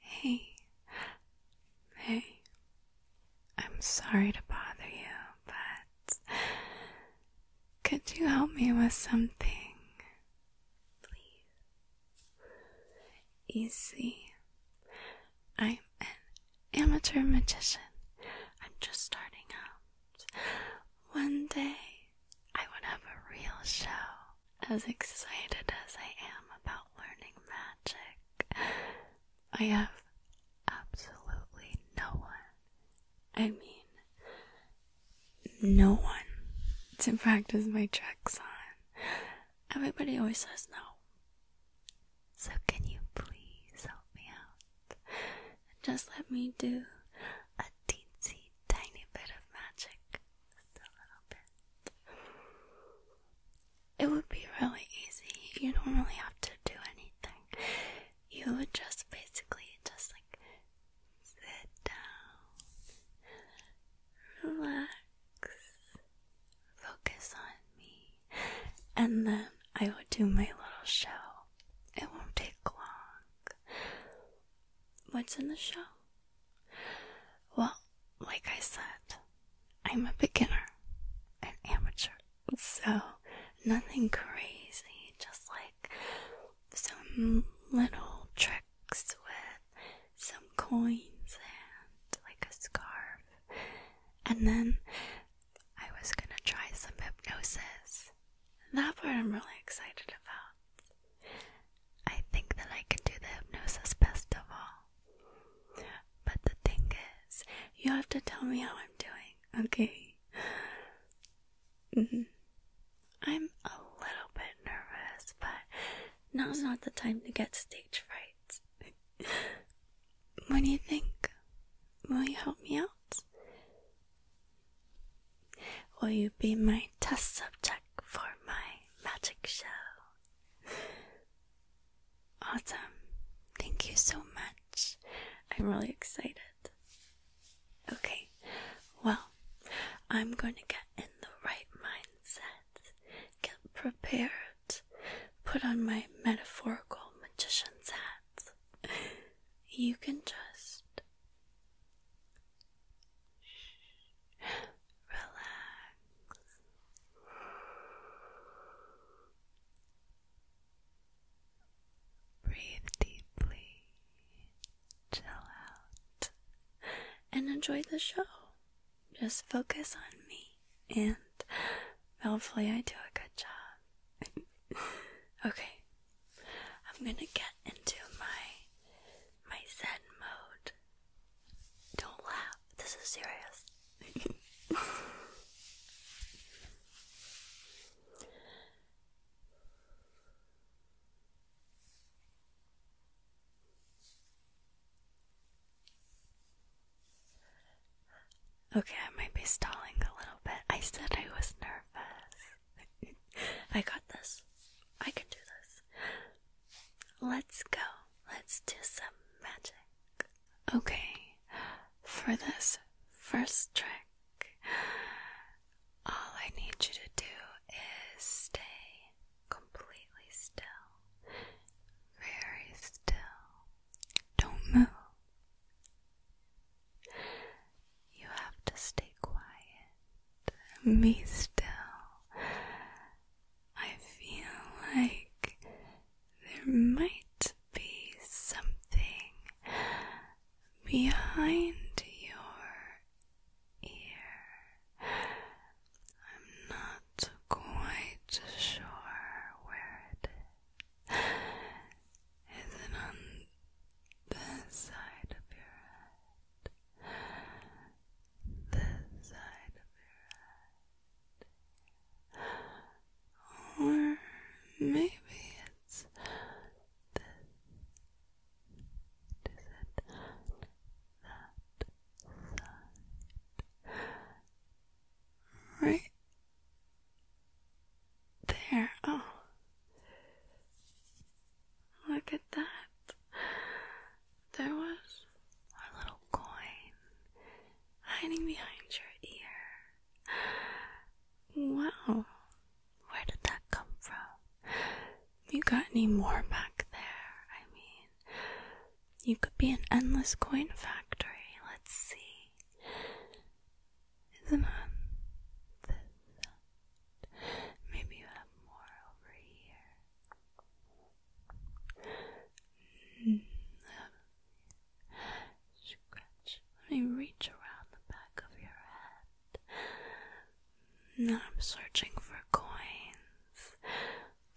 Hey, hey, I'm sorry to bother you, but could you help me with something? Please. You I'm an amateur magician. I'm just starting out. One day, I would have a real show as excited as I am about learning magic, I have absolutely no one. I mean, no one to practice my tricks on. Everybody always says no. So, can you please help me out? Just let me do a teensy tiny bit of magic it would be really easy. You don't really have to do anything. You would just basically just like sit down, relax, focus on me, and then I would do my little show. It won't take long. What's in the show? Well, like I said, I'm a beginner, an amateur, so nothing crazy, just like some little tricks with some coins and like a scarf. And then I was gonna try some hypnosis. That part I'm really excited about. I think that I can do the hypnosis best of all. But the thing is, you have to tell me how I'm doing, okay? Mm-hmm. I'm a little bit nervous, but now's not the time to get stage fright. what do you think? Will you help me out? Will you be my test subject for my magic show? Awesome. Thank you so much. I'm really excited. Okay, well, I'm going to get in the right mindset, get prepared, put on my metaphorical magician's hat. You can just Relax. Breathe deeply, chill out, and enjoy the show. Just focus on me, and hopefully, I do a good job. okay, I'm gonna get into my my Zen mode don't laugh. This is serious. okay, I might be stalling a little bit. I said I was nervous. I got this. I can do this. Let's go. Let's do some magic. Okay, for this first trick, all I need you to do is stay completely still. Very still. Don't move. You have to stay quiet. Me still. I feel like there might be something behind your ear. I'm not quite sure where it is. Is it on this side of your head? this side of your head, or maybe it's this. Is it that side? Right there. Oh, look at that there was a little coin hiding behind your ear. Wow, where did that come from? You got any more back there? I mean, you could be an endless coin factory. Let's see. Isn't it? Maybe you have more over here. Let me reach around the back of your head. then I'm searching for coins,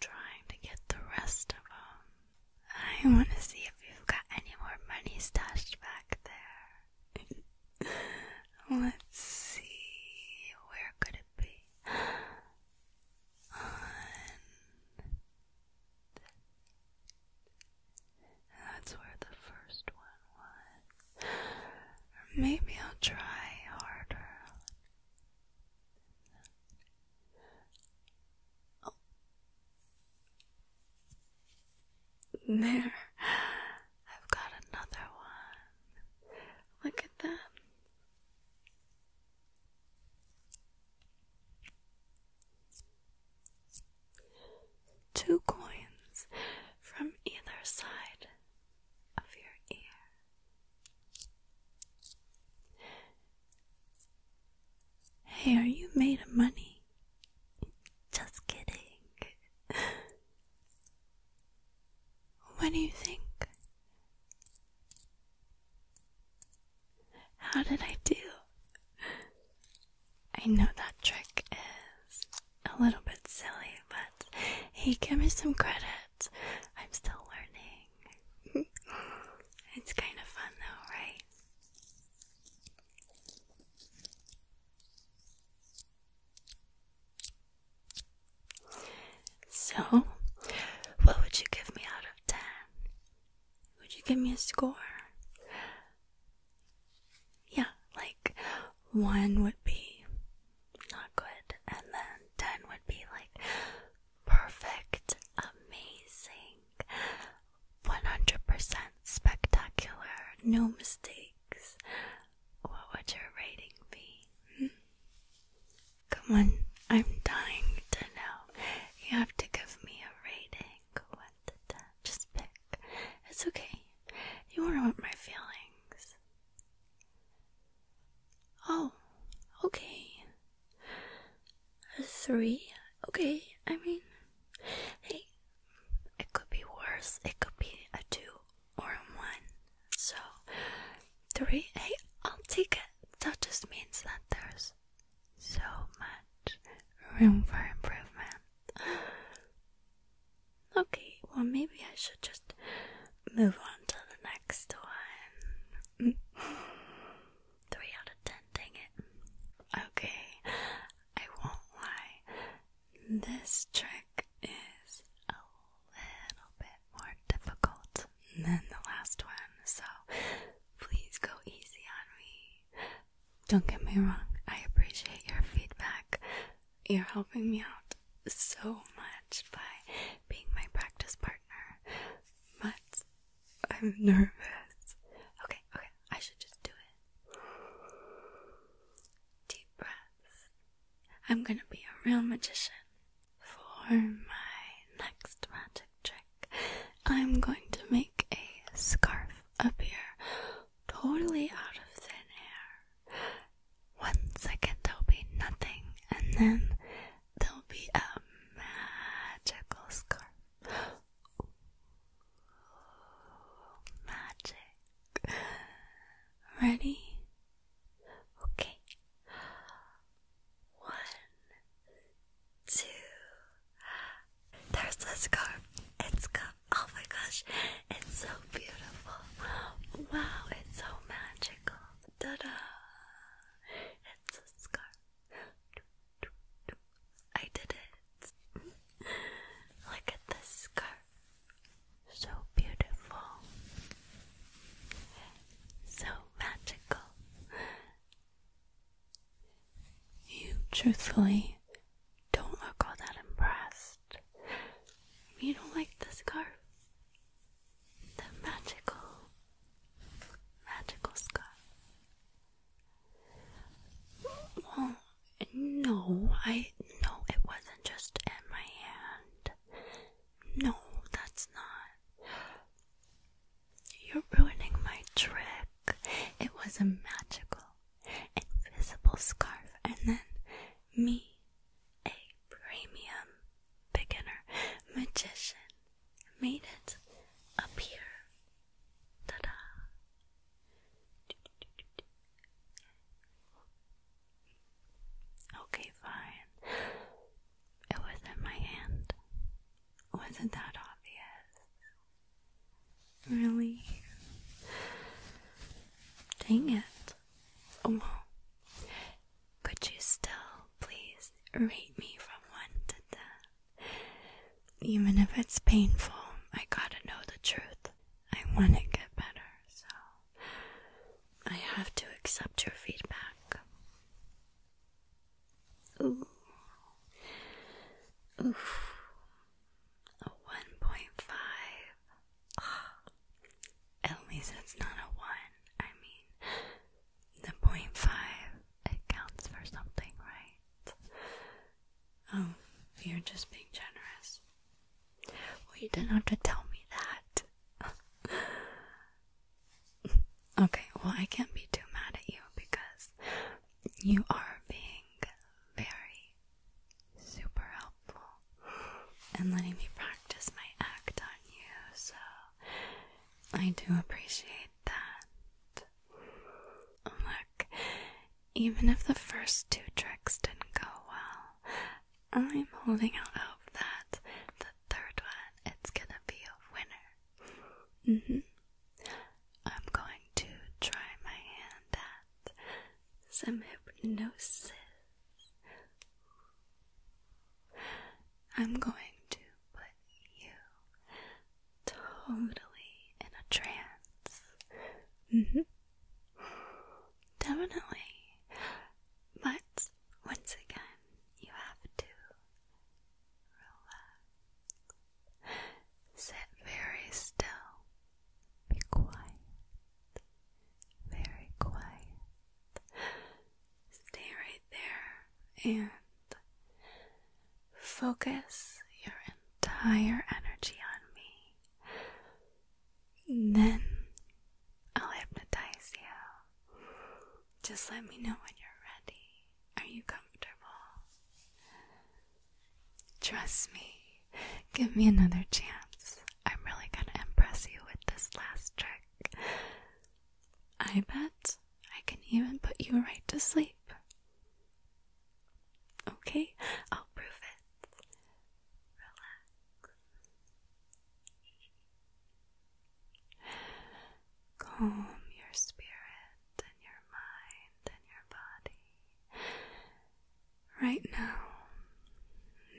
trying to get the rest of them. I want to see if you've got any more money stashed back there. Let's see, where could it be? That's where the first one was. maybe I'll try harder. There. I've got another one. Look at that. Two coins from either side of your ear. Hey, are you made of money? Just kidding. What do you think? How did I do? I know that trick is a little bit silly, but hey, give me some credit. I'm still learning. it's kind of fun though, right? So, what would you give me out of 10? Would you give me a score? Yeah, like 1 would be not good, and then 10 would be like perfect, amazing, 100% spectacular, no mistakes. What would your rating be? Hmm? Come on, I'm dying to know. You have to give me a rating. Just pick. It's okay. You won't my feelings. Oh, okay. A three? Okay, I mean, hey, it could be worse. It could be a two or a one. So, three. A. will take it. That just means that there's so much room for improvement. Okay, well, maybe I should just move on to the next one. Three out of ten, dang it. Okay, I won't lie. This trick is little bit more difficult than the last one, so please go easy on me. Don't get me wrong, I appreciate your feedback. You're helping me out so much by being my practice partner, but I'm nervous. Okay, okay, I should just do it. Deep breaths. I'm gonna be a real magician. For my next magic trick, I'm going to make a scarf appear totally out of thin air. One second there'll be nothing, and then there'll be a magical scarf. magic. Ready? Okay. One, two. There's the scarf. It's Oh my gosh, it's so beautiful. Wow, it's so magical. Ta da! It's a scarf. I did it. Look at this scarf. So beautiful. So magical. You truthfully don't look all that impressed. You don't like the scarf? The magical, magical scarf. Well, no, I no, it wasn't just in my hand. No, that's not. You're ruining my trick. It was a magical, invisible scarf, and then me, a premium beginner magician, made it appear. Ta da! Okay, fine. It was not my hand. Wasn't that obvious? Really? Dang it. Oh, could you still please rate me from 1 to 10? Even if it's painful, I gotta know the truth. I wanna get better, so I have to accept your feedback. Ooh. ooh, A 1.5. At least it's not a 1. I mean, the point five accounts for something, right? Oh, you're just being generous. Well, you didn't have to tell me that. Okay, well, I can't be too mad at you because you are being very super helpful and letting me practice my act on you, so I do appreciate that. Look, even if the first two tricks didn't go well, I'm holding out hope that the third one it's gonna be a winner. Mm -hmm. I'm going to try my hand at some hypnosis. I'm going to put you totally in a trance. Mm -hmm. Definitely. But once again, you have to Relax. Sit very still. Be quiet. Very quiet. Stay right there and focus your entire energy on me. then I'll hypnotize you just let me know when you're ready. Are you comfortable? Trust me. Give me another chance. I'm really gonna impress you with this last trick. I bet I can even put you right to sleep. Okay, I'll prove it. Relax calm your spirit and your mind and your body. Right now,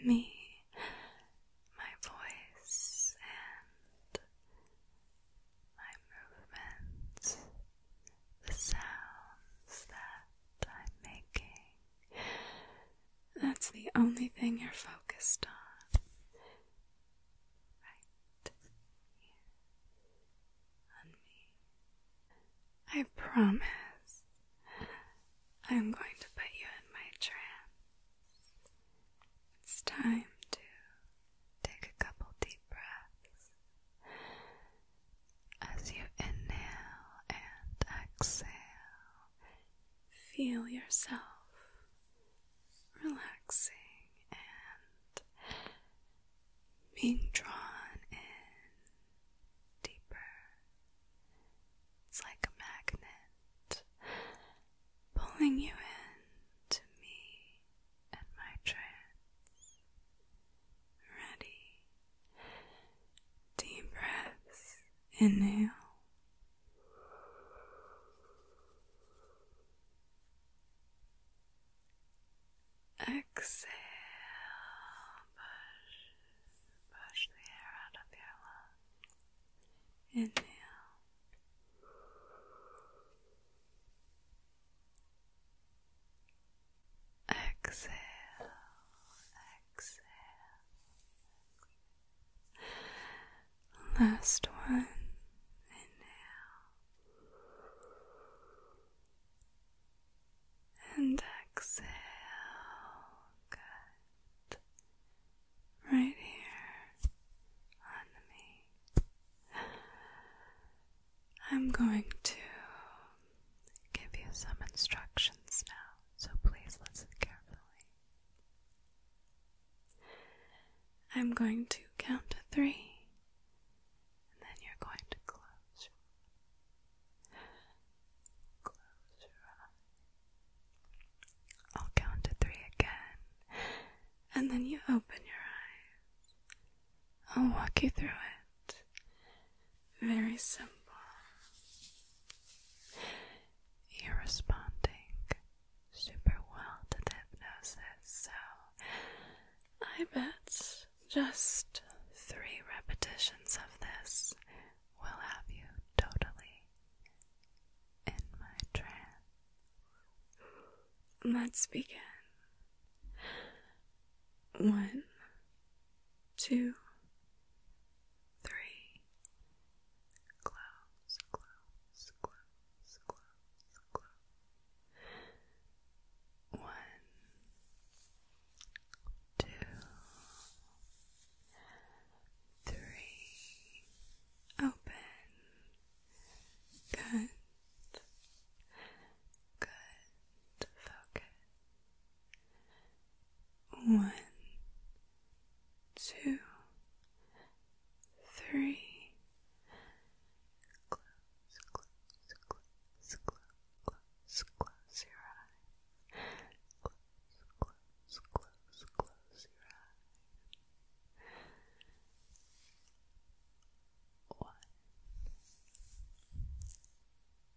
me, my voice, and my movements, the sounds that I'm making. That's the only thing you're focused on right here on me. I promise I'm going to put you in my trance. It's time to take a couple deep breaths. As you inhale and exhale, feel yourself relaxing and being drawn in deeper. It's like a magnet pulling you in to me and my trance. Ready. Deep breaths. Inhale. Exhale, push, push the air out of your lungs. Inhale. Exhale, exhale. Last one. Inhale. And exhale. Good. Right here on me. I'm going to give you some instructions now, so please listen carefully. I'm going to count to three, and then you're going to close. your eyes. I'll count to three again, and then you open your eyes. I'll walk you through it. Very simple. You're responding super well at hypnosis, so I bet just three repetitions of this will have you totally in my trance. Let's begin. One, two, three. Close, close, close, close. One, two, three. Open. Good. Good. Focus. One, two, three. Close, close, close, close, close your eyes. Close, close, close, close your eyes. One,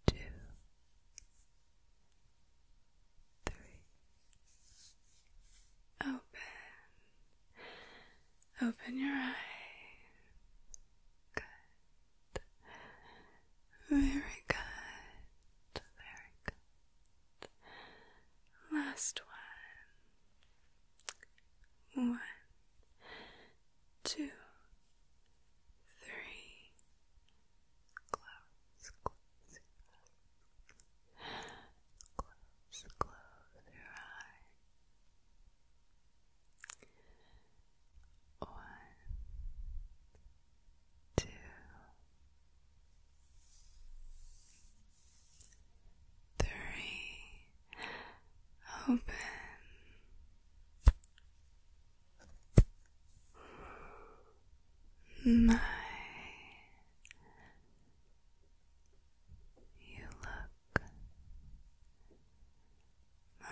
two, three. Open. Open your eyes. Good. Very good. Very good. Last one. One, two, three. Close, close. Close, close your eye. One, two, three. Open. My you look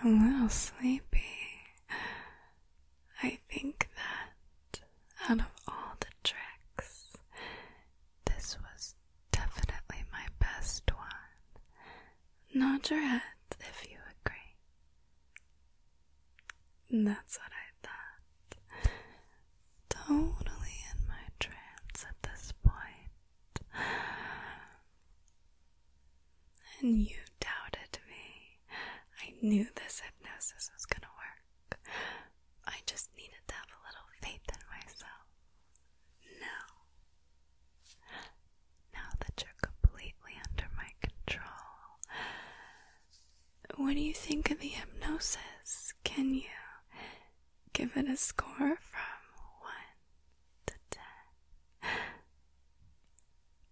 a little sleepy. I think that out of all the tricks, this was definitely my best one. Nod your head if you agree. That's what I thought totally in my trance at this And you doubted me. I knew this hypnosis was gonna work. I just needed to have a little faith in myself. Now, now that you're completely under my control, what do you think of the hypnosis? Can you give it a score from 1 to 10.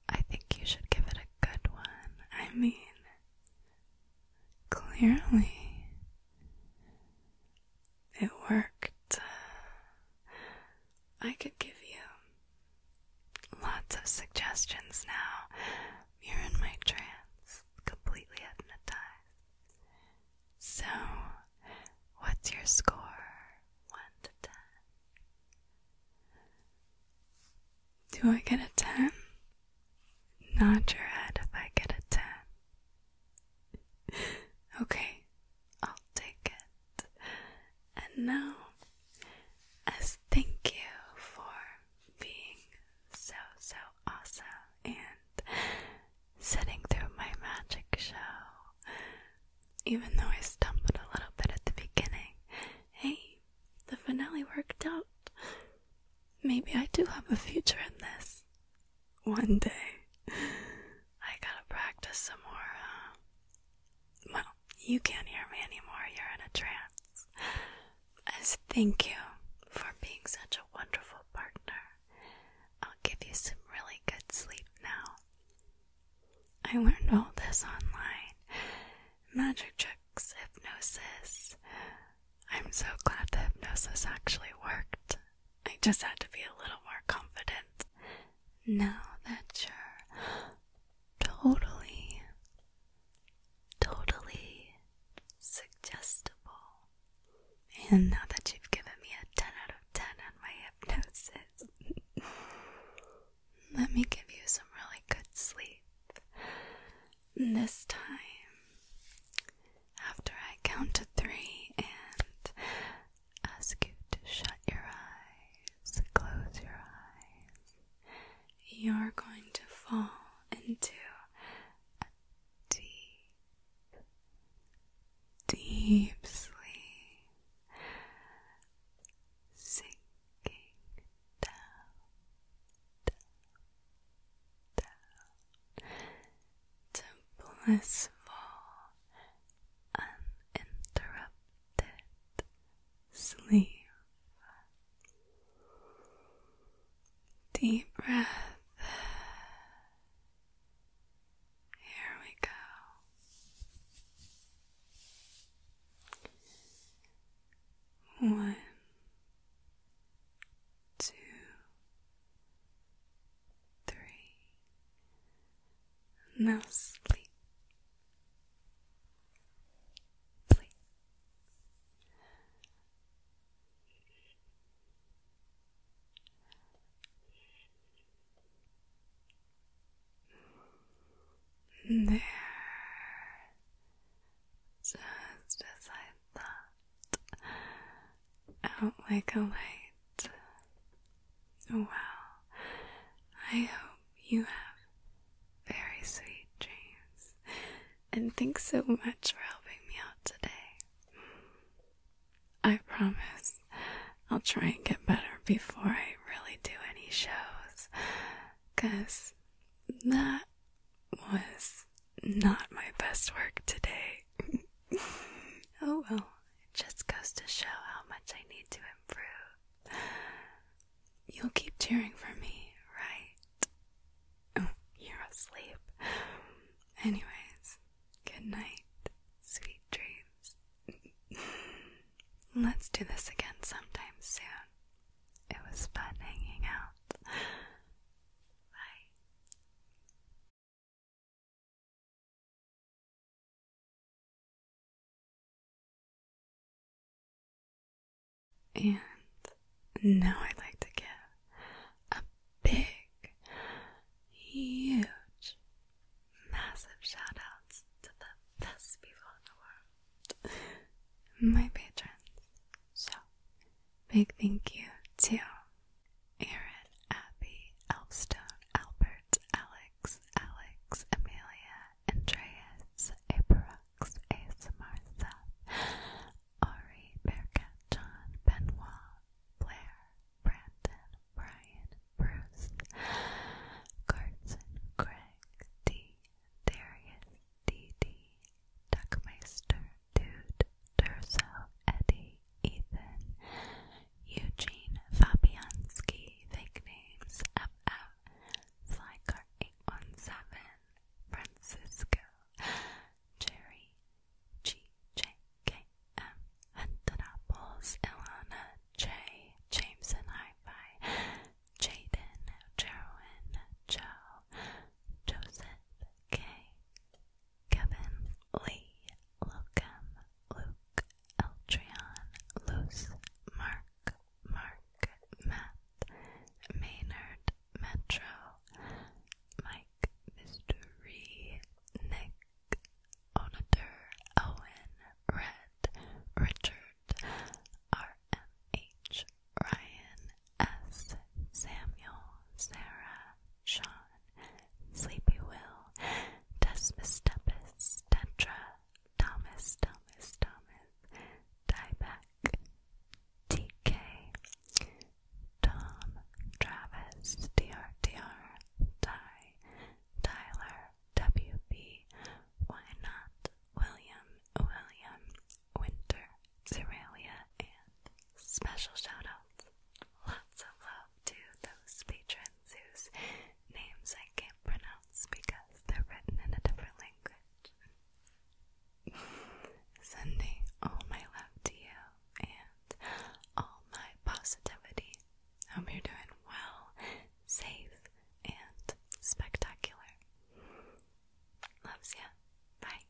I think you should give it a good one. I mean, clearly, it worked. I could give you lots of suggestions now. You're in my trance, completely hypnotized. So, what's your score? 1 to 10. Do I get a 10? Nod your head if I get a 10. okay, I'll take it. And now, as thank you for being so, so awesome and setting through my magic show. Even though I stumbled a little bit at the beginning, hey, the finale worked out. Maybe I do have a future in this. One day. I gotta practice some more, Well, you can't hear me anymore, you're in a trance. As thank you for being such a wonderful partner. I'll give you some really good sleep now. I learned all this online magic tricks, hypnosis. I'm so glad the hypnosis actually worked. I just had to be a little more confident. Now that you're totally, totally suggestible, and now that you've given me a 10 out of 10 on my hypnosis, let me give you some really good sleep. This time, after I count to three and ask you to shut your eyes, close your eyes, you're going to fall into deep, deep sleep, sinking down, down, down to blissful, uninterrupted sleep. Deep breath. Here we go. One, two, three. Now sleep. Sleep. There. Just as I thought. Out like a light. Well, I hope you have very sweet dreams. And thanks so much for helping me out today. I promise I'll try and get better before I really do any shows. Because that was not my best work today. oh well, it just goes to show how much I need to improve. You'll keep cheering for me, right? you're asleep. Anyways, good night. Sweet dreams. Let's do this again sometime soon. It was fun hanging out. Bye. And now I'd like to give a big, huge, massive shout outs to the best people in the world, my patrons. So, big thank you to Aaron, Abby, Elfstone, Albert, Alex, Alex, Amelia, Andreas, Aperox, ASMR Seth, Ari, Bearcat, John, Benoit, Blair, Brandon, Brian, Bruce, Carson, Craig, D, Darius, D.D., Duckmeister, Dude, Durso, Eddie, Ethan, Eugene, Fabianski, Fake Names, FF, Flycar 817, Francisco, Jerry, GJKM Hunted Apples, Elena J, Jameson Hi-Fi, Jaden, Jerwin, Joe, Joseph K, Kevin Lee, Locum, Luke, Eltrion, Luce, Mark, Mark, Matt, Maynard, Metro, Mike. Mystery Nick, Onator, Owen, Red, Richard, RMH, Ryan, S, Samuel, Sarah, Sean, Sleepy Will, Desmus Deppis, Thomas, Thomas, Thomas, Dieback, TK, Tom, Travis, DRDR, Ty, Tyler, WB, Why Not, William, William, Winter, Zerelia, and special shoutouts. Lots of love to those patrons whose names I can't pronounce because they're written in a different language. Sending all my love to you and all my positivity. Hope you're doing well, safe, and spectacular. Loves you. Bye.